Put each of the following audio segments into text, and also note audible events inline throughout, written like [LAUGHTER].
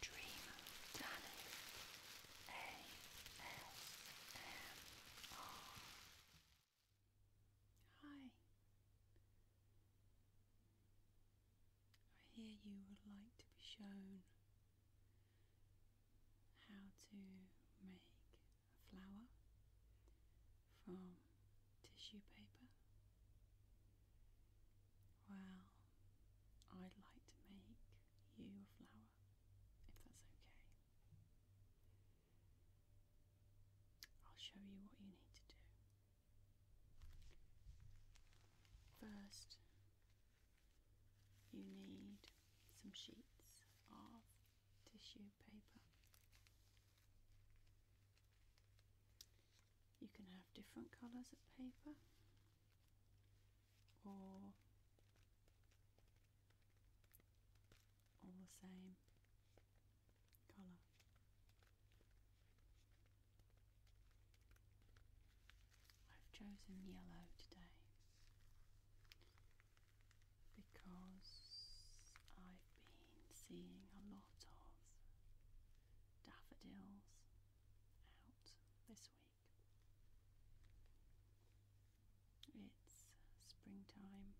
Dream Danny ASMR. Hi. I hear you would like to be shown how to make a flower from tissue paper. Well, I'd like to make you a flower, if that's okay. I'll show you what you need to do. First, you need some sheets of tissue paper. You can have different colours of paper or all the same colour. I've chosen yellow today because I've been seeing a lot of daffodils out this week. It's springtime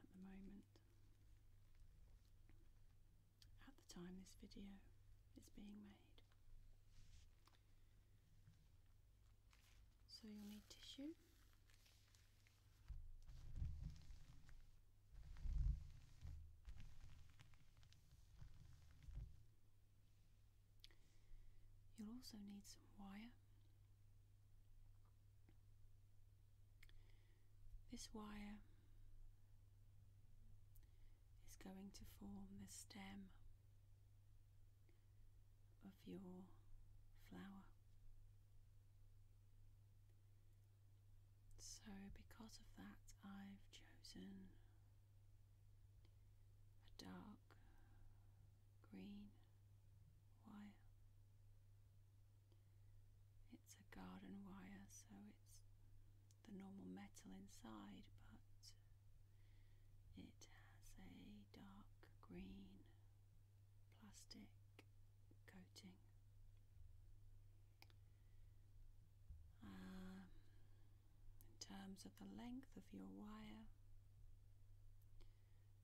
at the moment. At the time this video is being made. So you'll need tissue You'll also need some wire. This wire is going to form the stem of your flower. So, because of that, I've chosen a dark green wire. It's a garden wire, so it's the normal metal inside, but it has a dark green plastic coating. Uh, in terms of the length of your wire.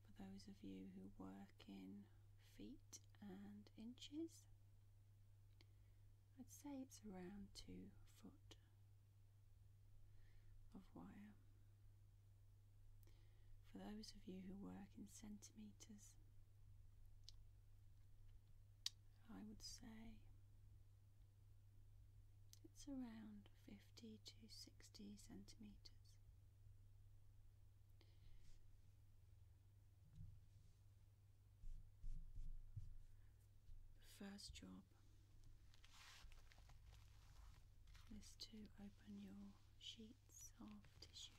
For those of you who work in feet and inches, I'd say it's around two foot of wire. For those of you who work in centimetres, I would say it's around 50 to 60 centimeters. The first job is to open your sheets of tissue.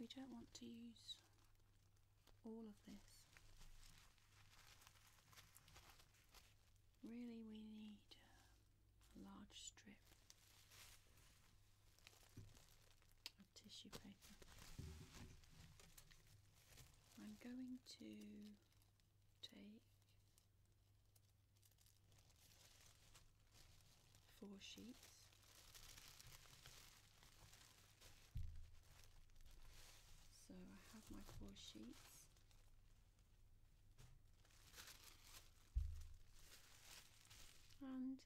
We don't want to use all of this. Really, we need a large strip of tissue paper. I'm going to take four sheets so I have my four sheets and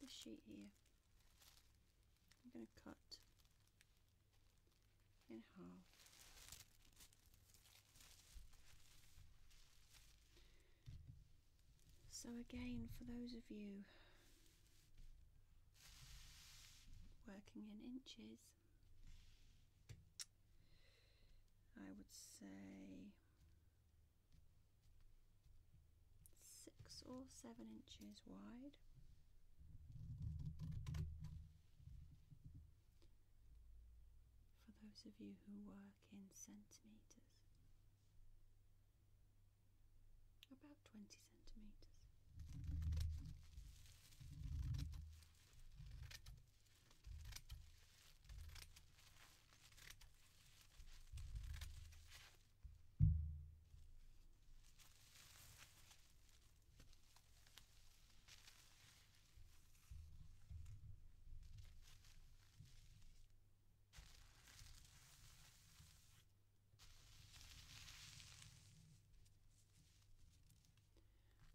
the sheet here I'm going to cut in half. So again, for those of you working in inches, I would say six or seven inches wide. For those of you who work in centimetres, about 20 centimetres.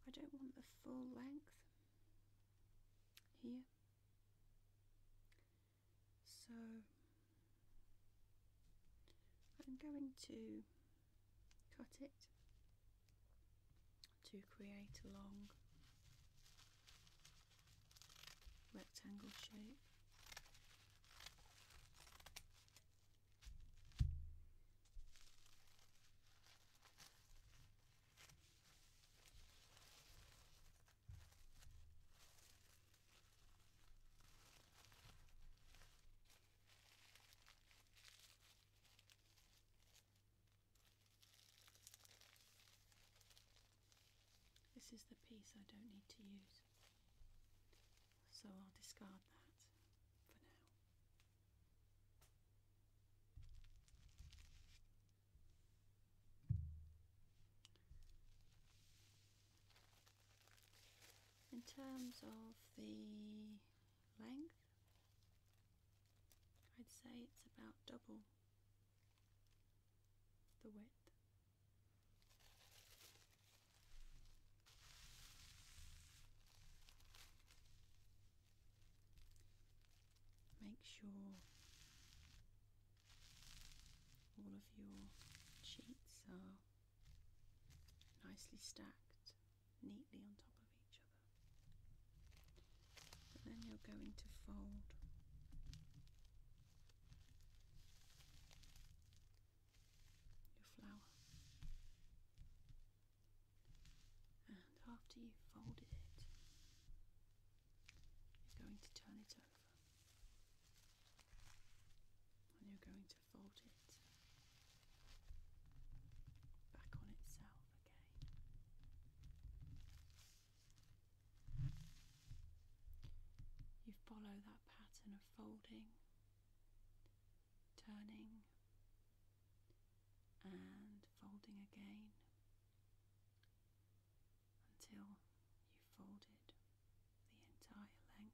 I don't want the full length here so I'm going to cut it to create a long rectangle shape this is the piece I don't need to use, so I'll discard that for now. In terms of the length, I'd say it's about double the width make sure all of your sheets are nicely stacked neatly on top of each other. But then you're going to fold your flower. And after you've folded it, you're going to turn it and you're going to fold it back on itself again. You follow that pattern of folding, turning, and folding again until you folded the entire length of tissue.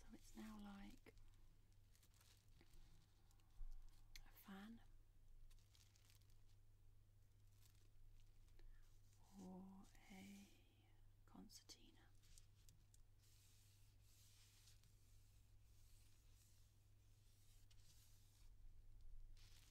So it's now like a fan or a concertina.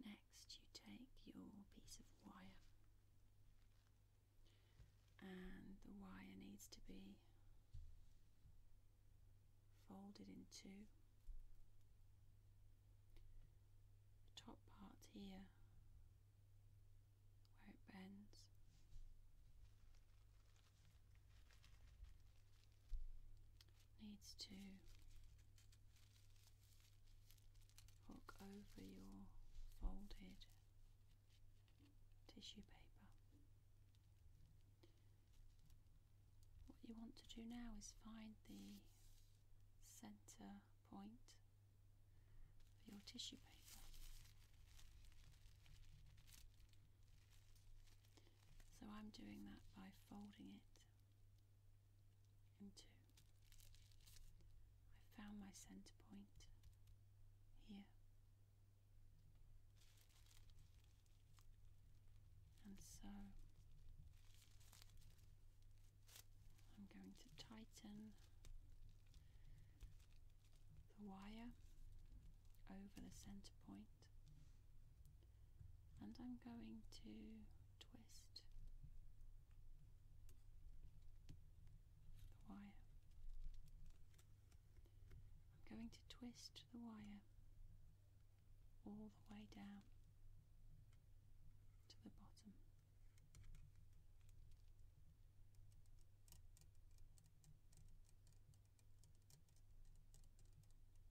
Next, you take your piece of wire, and the wire needs to be folded in two. top part here, where it bends. Needs to hook over your folded tissue paper. What you want to do now is find the center point for your tissue paper. So I'm doing that by folding it and I found my center point here and so I'm going to tighten the wire over the center point and I'm going to twist the wire. I'm going to twist the wire all the way down to the bottom.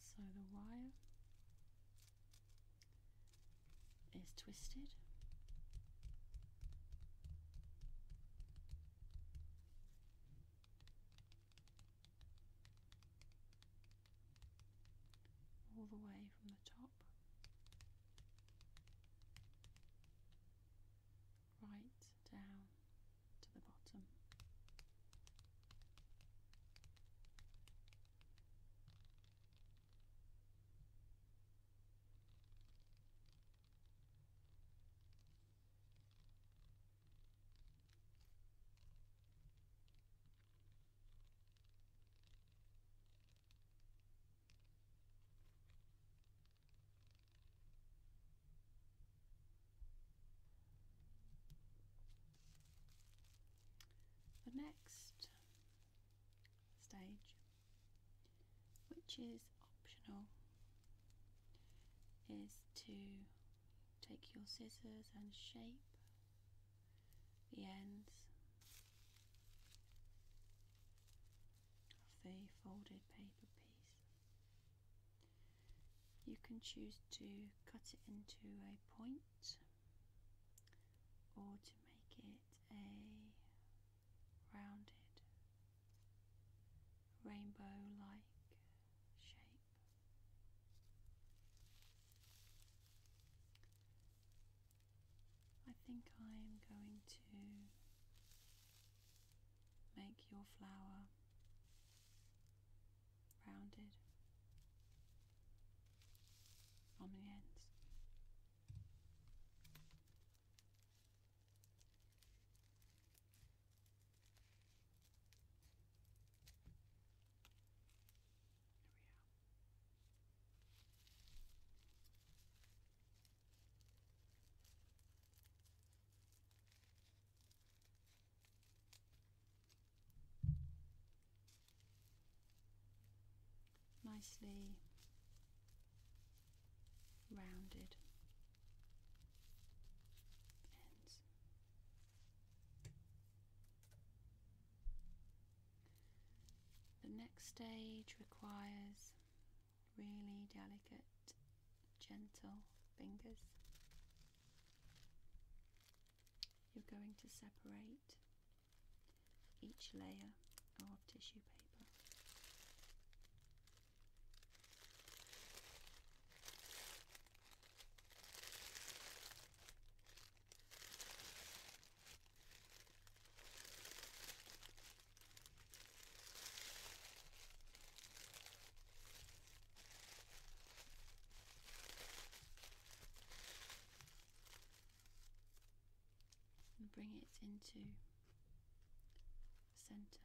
So the wire is twisted. all the way from the top right down to the bottom. The next stage, which is optional, is to take your scissors and shape the ends the folded paper piece. You can choose to cut it into a point or to make it a rounded rainbow like shape. I think I am going to make your flower rounded on the ends. There we are nicely rounded The next stage requires really delicate, gentle fingers. You're going to separate each layer of tissue paper and bring it into center.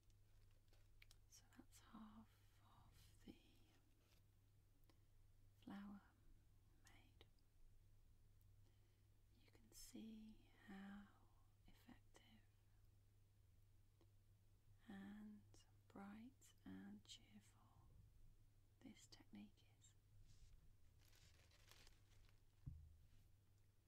So that's half of the flower made. You can see how effective and bright and cheerful this technique is.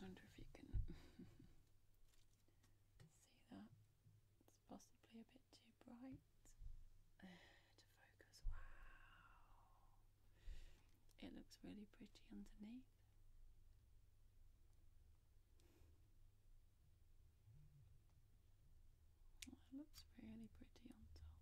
wonder if you can [LAUGHS] see that. It's possibly a bit too bright [SIGHS] to focus. Wow. It looks really pretty underneath. Well, it looks really pretty on top.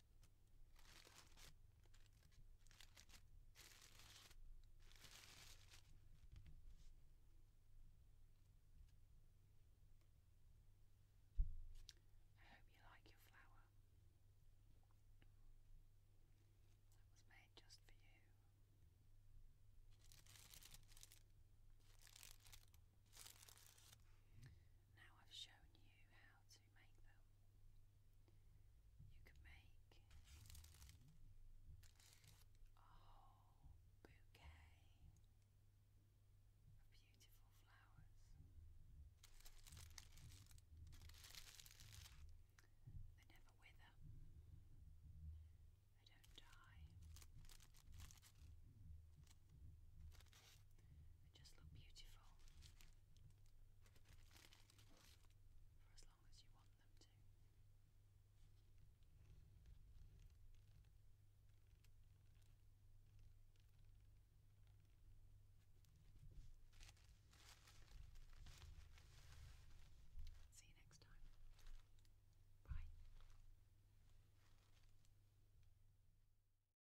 I hope you like your flower. That was made just for you. Now I've shown you how to make them. You can make a whole bouquet of beautiful flowers. They never wither. They don't die. They just look beautiful for as long as you want them to. See you next time. Bye.